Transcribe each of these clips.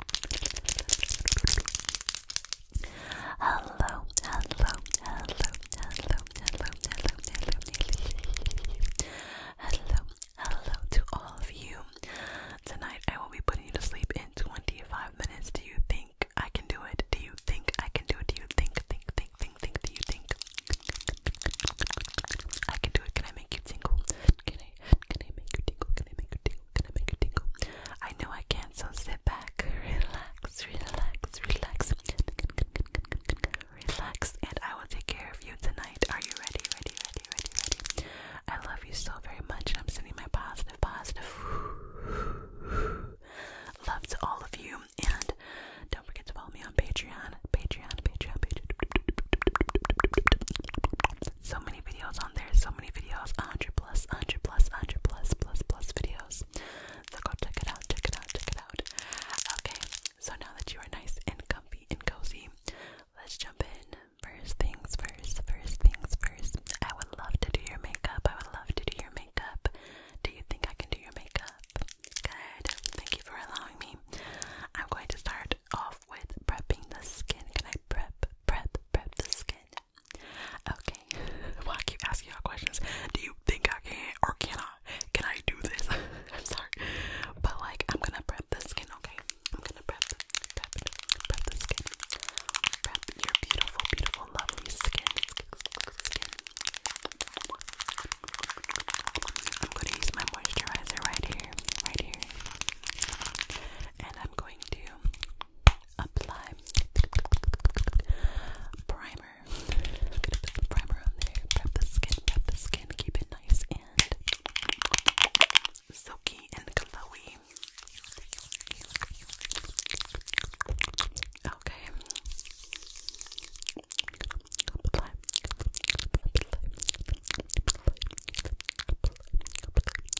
Hello, hello, hello, hello, hello, hello, hello, hello, hello to all of you. Tonight I will be putting you to sleep in 25 minutes. Do you think I can do it? Do you think I can do it? Do you think, think, think, think, think, do you think I can do it? Can I make you tingle? Can I, can I make you tingle? Can I make you tingle? gonna make you tingle. I know I can, so sit back, relax, relax, relax, relax, and I will take care of you tonight. Are you ready? Ready? Ready? Ready? Ready? I love you so very much, and I'm sending my positive, positive love to all of you. And don't forget to follow me on Patreon, Patreon, Patreon, Patreon. So many videos on there, so how many videos? 100 plus, 100 plus, 100 plus, plus, plus videos. So go check it out, check it out, check it out. Okay, so now that you are nice and comfy and cozy, let's jump in. First things first, first things first. I would love to do your makeup. I would love to do your makeup. Do you think I can do your makeup? Good. Thank you for allowing me. I'm going to start off with prepping the skin. Can I prep, prep, prep the skin. Okay. Well, I keep asking all questions. Do you think I can or can Can I do this? I'm sorry. But like, I'm gonna prep the skin, okay? I'm gonna prep, prep, prep the skin. Prep your beautiful, beautiful, lovely skin. I'm gonna use my moisturizer right here, right here and I'm going to apply primer. primer on there, prep the skin, prep the skin, keep it nice and silky and glowy. Okay. Okay, perfect.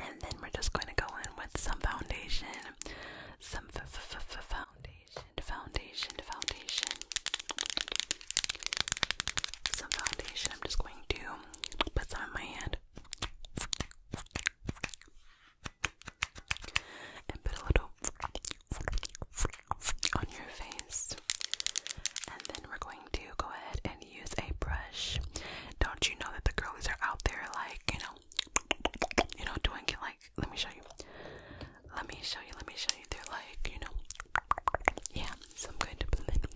And then we're just going to go in with some foundation some f f f foundation, foundation, foundation. Some foundation. I'm just going to put some in my hand and put a little on your face. And then we're going to go ahead and use a brush. Don't you know that the girlies are out there, like, you know, you know, doing it like, let me show you, let me show you, let me show you, they're like, you know, yeah, so I'm going to blend,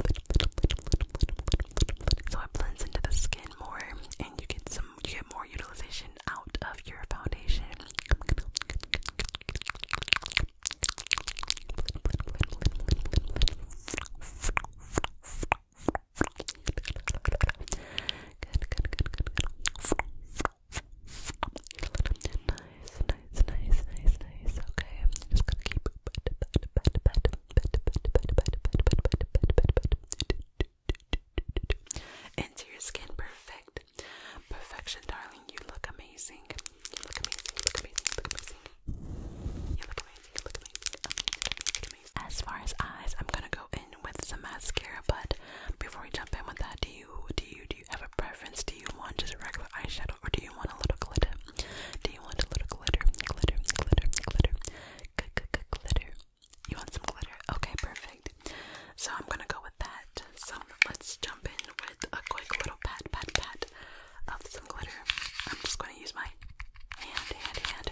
so it blends into the skin more, and you get some, you get more utilization out of your foundation. Good, good, good, good, good. Nice, nice, nice, nice, nice. Okay, just gonna keep into your skin. Perfect. Perfection, darling. You look amazing. look amazing. look amazing. You look amazing. You look amazing. You look amazing. As far as eyes, I'm gonna go in with some mascara, but before we jump in with that, do you do you do you have a preference? Do you want just a regular eyeshadow or do you want a little glitter? Do you want a little glitter? Glitter, glitter, glitter, g -g glitter. You want some glitter? Okay, perfect. So I'm gonna go with that. So let's jump in with a quick little pat, pat, pat of some glitter. I'm just gonna use my hand, hand, hand,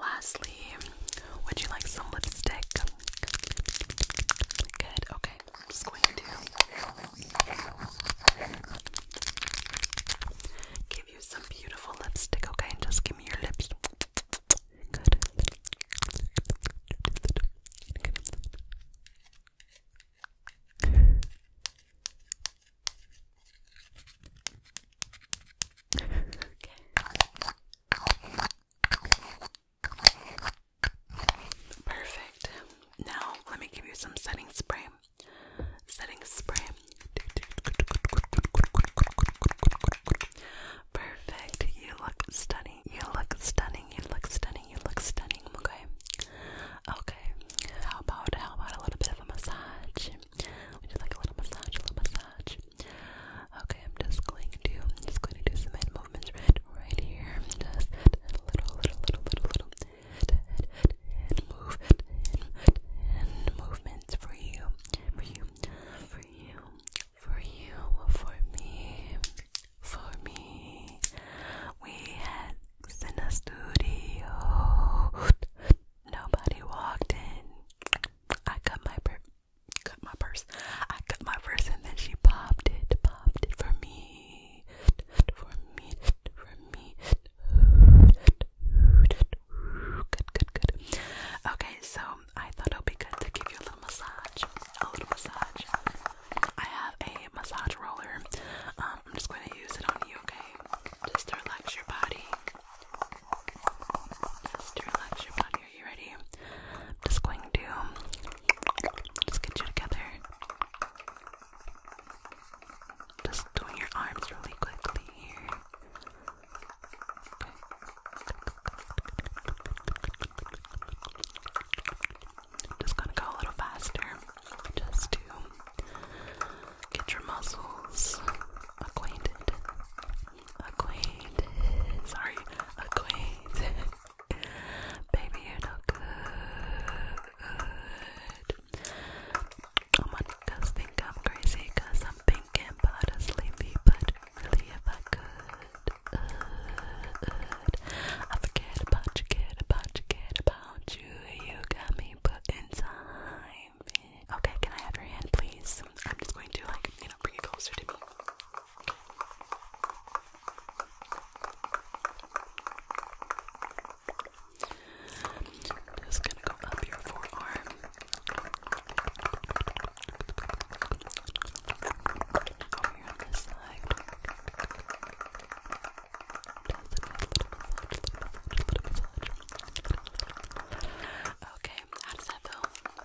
Lastly, would you like some lipstick? Good, okay. I'm just going to give you some beautiful lipstick, okay? And just give me your lips. Good. Perfect. Now, let me give you some setting spray. Setting spray. Perfect. You look stunning. You look stunning. You look stunning. You look stunning. Okay. Okay. How about how about a little bit of a massage? Would you like a little massage? A little massage. Okay, I'm just going to, I'm just going to do some head movements right, right here. Just a little, little, little, little, head, head, head head, head for you, for you, for you, for you, for me, for me. We had in a studio. Nobody walked in. I got my cut my purse. I cut my purse and then she popped it, popped it for me, for me, for me. Good, good, good. Okay, so I thought it would be good to give you a little massage, a little massage. I have a massage roller. Um, I'm just going to use it on you, okay? Just to relax your body. Just relax your body, are you ready? I'm just going to just get you together. Just doing your arms really quickly here. Just gonna go a little faster, just to get your muscles acquainted acquainted, sorry, acquainted. Baby, you know good. Oh my guys think I'm crazy cause I'm pink and sleepy, but really if I could, uh, uh, I forget about you, get about you, get about you. You got me put in time. Okay, can I have your hand, please? I'm just going to, like, you know, bring it closer to me. just gonna go up your forearm. Over here on this side. Okay, how does that feel?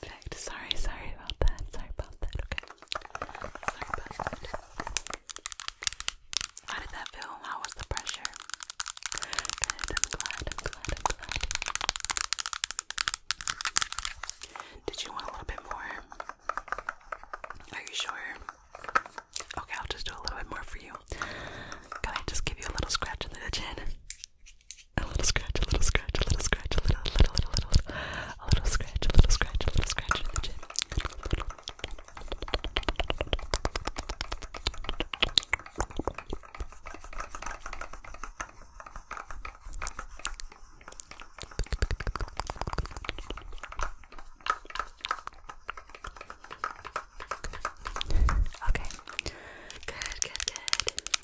Perfect. Sorry, sorry about that. Sorry about that. Okay. Sorry about that. How did that feel? How was the pressure? Good. glad. glad. glad. Did you want a little bit more? Are you sure? Okay, I'll just do a little bit more for you. Can I just give you a little scratch in the chin? A little scratch, a little scratch, a little scratch, a little, little, little, little, a little scratch, a little scratch, a little scratch Okay. Good, good, good.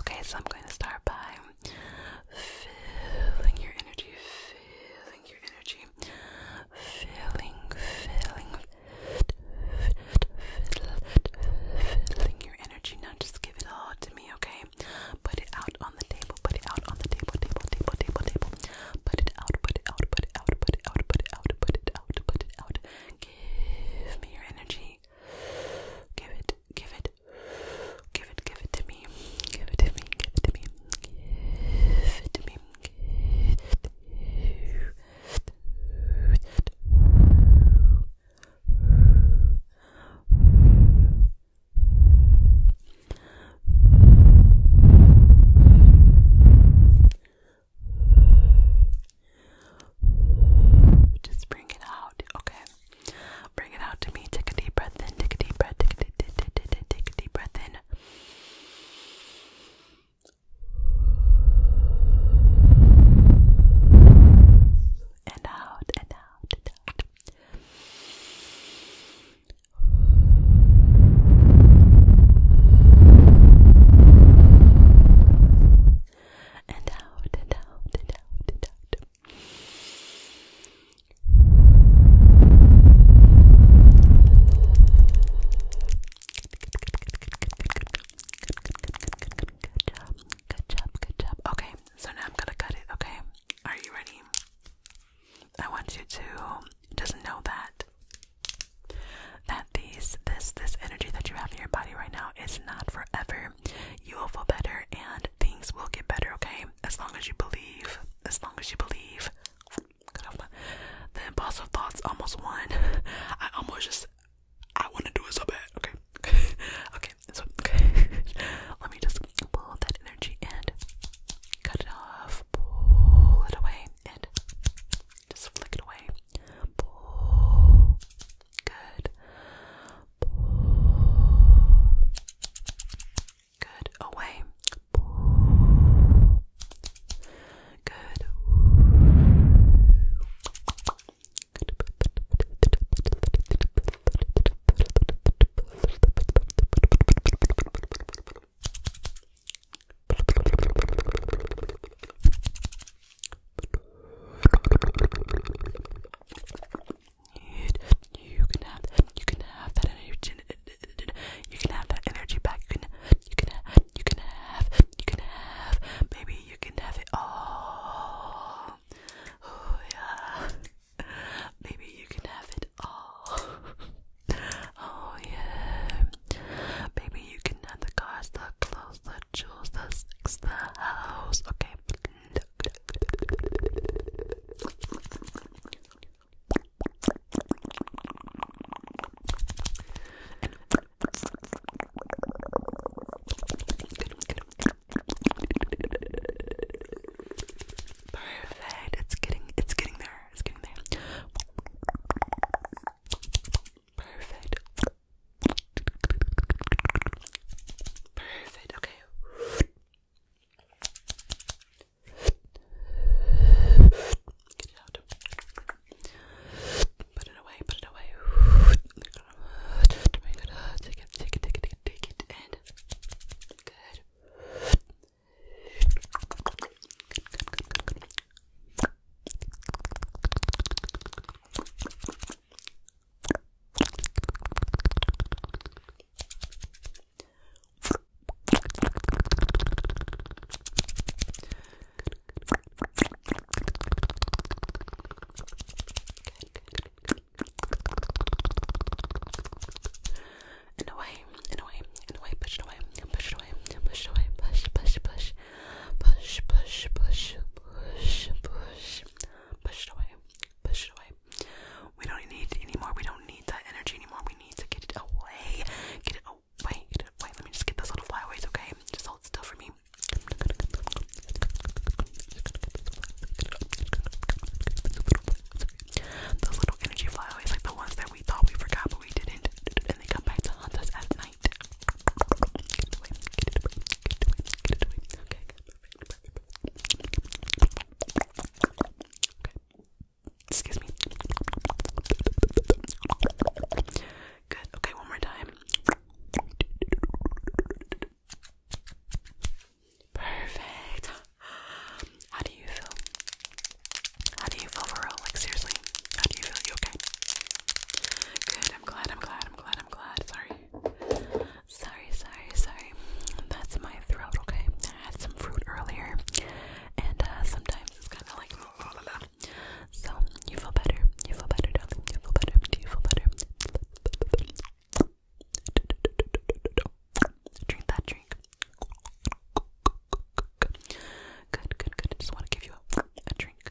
Okay, so I'm going to start by feeling your energy, feeling your energy, feeling, feeling, feeling your energy. Now just give it all to me, okay? Put it out on the table, put it out on the table, table, table, table, table. Put it out, put it out, put it out, put it out, put it out, put it out, put it out. Give me your energy me. Give it, give it, give it, give it to me. Give it to me, give it to me. Give it to me. Give it just bring it out, okay? Bring it out to me. Take a deep breath in. Take a deep breath. Take a deep, take a deep, take deep breath in. And out, and out, and out and out and out and out and out. Good job, good job, good job. Okay, so now I'm gonna cut it, okay? Are you ready? I want you to just know that that these this this energy that you have in your body right now is not forever better. You will feel better and things will get better, okay? As long as you believe. As long as you believe. The impulsive thoughts almost won. I almost just I wanna do it so bad. Okay. Okay. Okay. So okay. Let me just pull that energy and cut it off. Pull it away and just flick it away. Pull Good. Good. Away. Good. You can have that. You can have that energy. You can have that energy back. You can. You can. You can have. You can have. Maybe you can have it all. Oh yeah. Maybe you can have it all. Oh yeah. Maybe you can have the cars, the clothes, the visuals. That's next house. Okay. Perfect. It's getting it's getting there. It's getting there. Perfect. Perfect, okay. Put it away, put it away. Take it, take it, take it, take it, take it, good. In a way, in a way, in a way, push it away, push it away, push it away, push, push, push push, push, push, push, push, push it away, push it away. We don't need it anymore. We don't need that energy anymore. We need to get it away. Get it away. Get it away. Let me just get those little flyaways, okay? Just hold still for me. Those little energy flyaways, like the ones that we thought we forgot but we didn't, and they come back to haunt us at night. Excuse me. Good, okay, one more time. Perfect. How do you feel? How do you feel for real? Like seriously? How do you feel? You okay? Good. I'm glad. I'm glad. I'm glad. I'm glad. Sorry. Sorry. Sorry. Sorry. That's my throat. Okay. I had some fruit earlier, and uh, sometimes it's kind of like. Blah, blah, blah. So you feel better. You feel better, darling. You feel better. Do you feel better? Drink that drink. Good, good, good. I just want to give you a drink.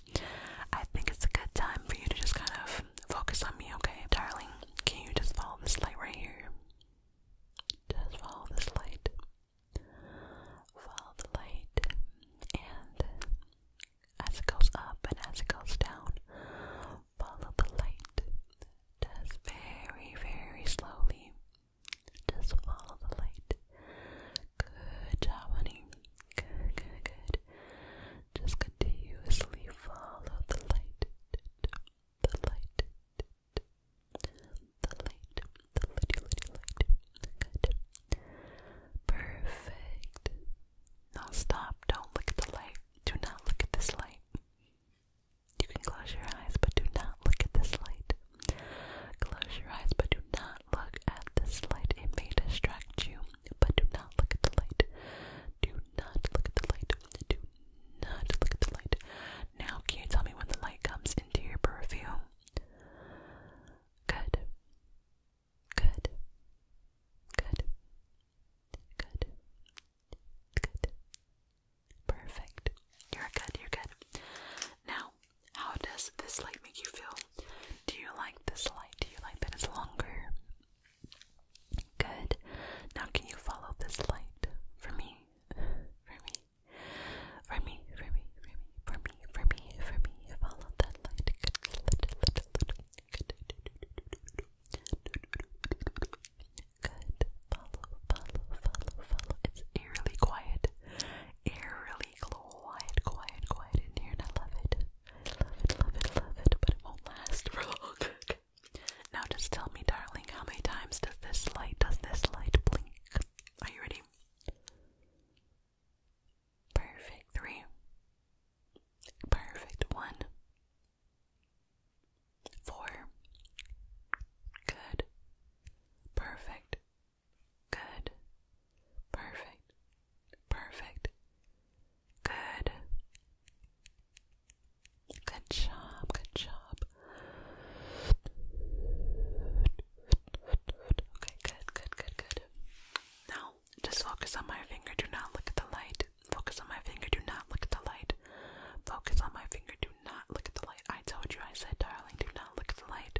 I think it's a good time for you to just kind of focus on me, okay? Darling, can you just follow this light right here? Just follow this light. Follow the light. And as it goes up and as it goes down, follow the light. Just very, very slowly. Just follow the light. Good job, honey. Good, good, good. Just continuously follow the light, the light, the light, the lighty, lighty, light. Perfect. Now stop. Don't look at the light. Do not look at this light. You can close your eyes, but do not look at this light. Close your eyes, but do not look at this light. It may distract you, but do not look at the light. Do not look at the light. Do not look at the light. Now, can you tell me when the light comes into your purview? Good. Good. Good. Good. Good. Perfect. You're good. You're good. Now, how does this light make you feel? Do you like this light? Do you like that it's longer? Good. Now can you follow this light for me? For me. For me, for me, for me, for me, for me, Follow that light. Good. Good. Follow, follow, follow, follow. It's eerily quiet. Eerily quiet, quiet, quiet in here, and I love it. I love it, love it, love it, but it won't last for long. now just tell me, darling, how many times does this light, does this light blink? Are you ready? Perfect. Three. Perfect. One. Four. Good. Perfect. Good. Perfect. Perfect. Good. Good job. Good job. Okay, good, good, good, good. Now, just focus on my finger. Do not look at the light. Focus on my finger. Do not look at the light. Focus on my finger. Do not look at the light. I told you, I said, darling, do not look at the light.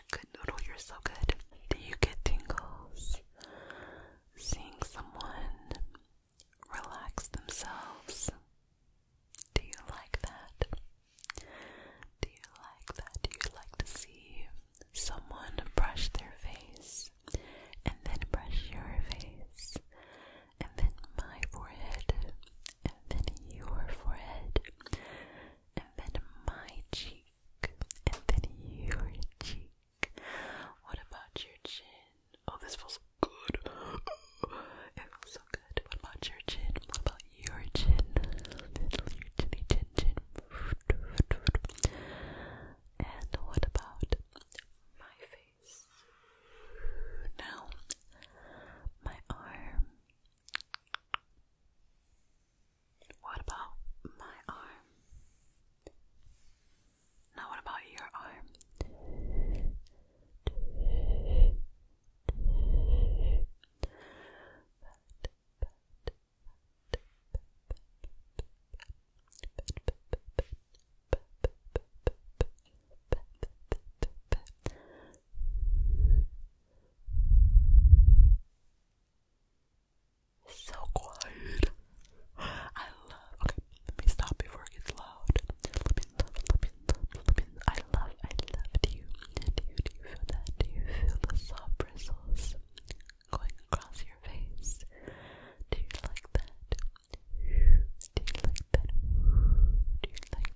you're good, Noodle. You're so good. Do you get tingles seeing someone relax themselves? Do you like that? Do you like that? Do you like to see someone brush their face and then brush your face and then my forehead and then your forehead and then my cheek, and then your cheek. What about your chin? Oh, this feels good. It feels so good. What about your chin? What about your chin? Little your chin chin. And what about my face? Now, my arm. What about my arm? Now, what about your arm? So quiet. I love. Okay, let me stop before it gets loud. I love, I love you, do you feel that? Do you feel the soft bristles going across your face? Do you like that? Do you like that? Do you like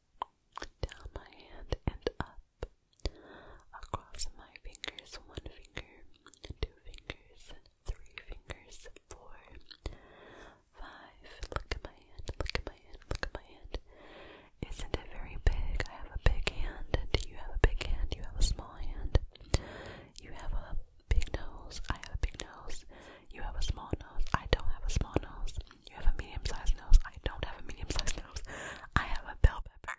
down my hand and up, across my fingers, one finger, two fingers, three fingers, four, five. Look at my hand, look at my hand, look at my hand. Isn't it very big? I have a big hand. Do you have a big hand? You have a small hand. You have a big nose. I have a big nose. You have a small nose. I don't have a small nose. You have a medium sized nose. I don't have a medium sized nose. I have a bell pepper.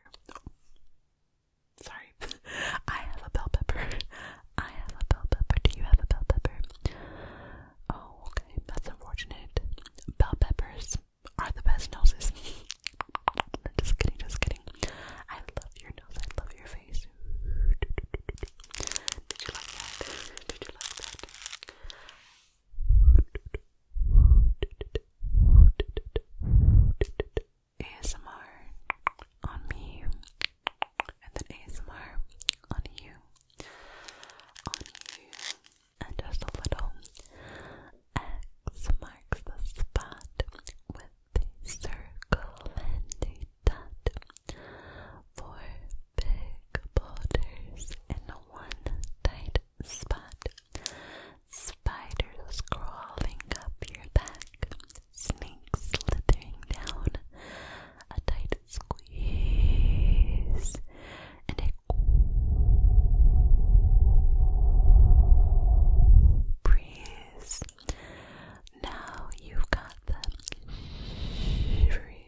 Sorry. I have a bell pepper. I have a bell pepper. Do you have a bell pepper? Oh, okay. That's unfortunate. Bell peppers are the best noses. just kidding, just kidding. I love your nose. I love your face. Did you like that? Did you like that? ASMR on me and then ASMR on you on you and just a little X marks the spot with a circle and a dot four big boulders in one tight spot. Spiders crawling up your back, snakes slithering down, a tight squeeze, and a breeze. Now you've got the shivery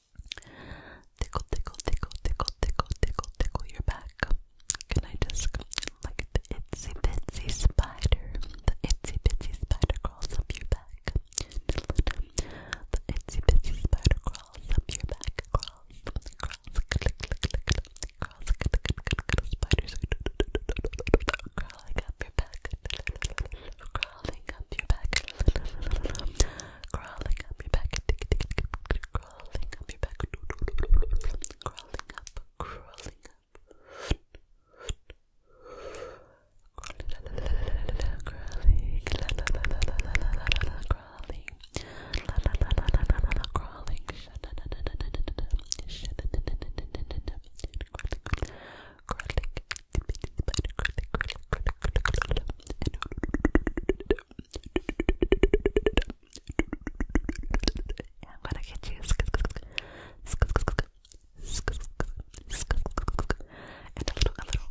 Tickle, tickle, tickle, tickle, tickle, tickle, tickle your back. Can I just like the itsy bitsy spider? The itsy bitsy spider crawls up your back. The itsy bitsy spider crawls up your back. Crawls, crawls, click, click, click, click, crawls, click, click, click, click, click spiders crawling up your back. Crawling crawling up your back, crawling up your back, crawling up your back, crawling up, crawling up, crawling, crawling. La la la la la la la crawling, crawling, I'm gonna get you. And a little, a little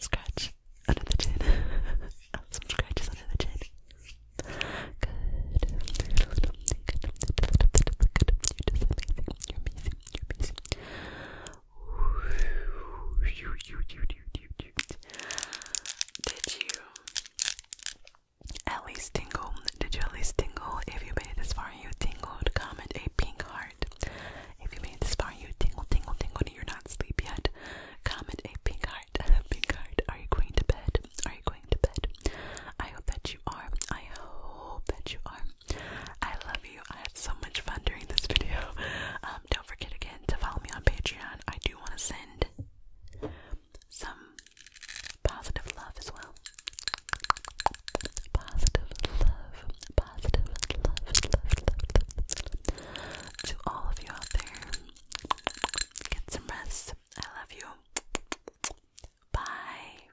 scratch under the chin. Some scratches under the chin. Good. You're amazing. You're amazing. You're amazing. Did you at least tingle? Did you at least tingle? If you made it this far, you tingled. Comment a pink heart. If you made it this far, you tingle, tingle, tingle, you're not asleep yet. Comment a pink heart. a pink heart. Are you going to bed? Are you going to bed? I hope that you are. I hope that you are. I love you. I had so much fun during this video. don't forget again to follow me on Patreon. I do want to send some positive love as well. Positive love, positive love, love, love, love to all of you out there. Get some rest. I love you. Bye.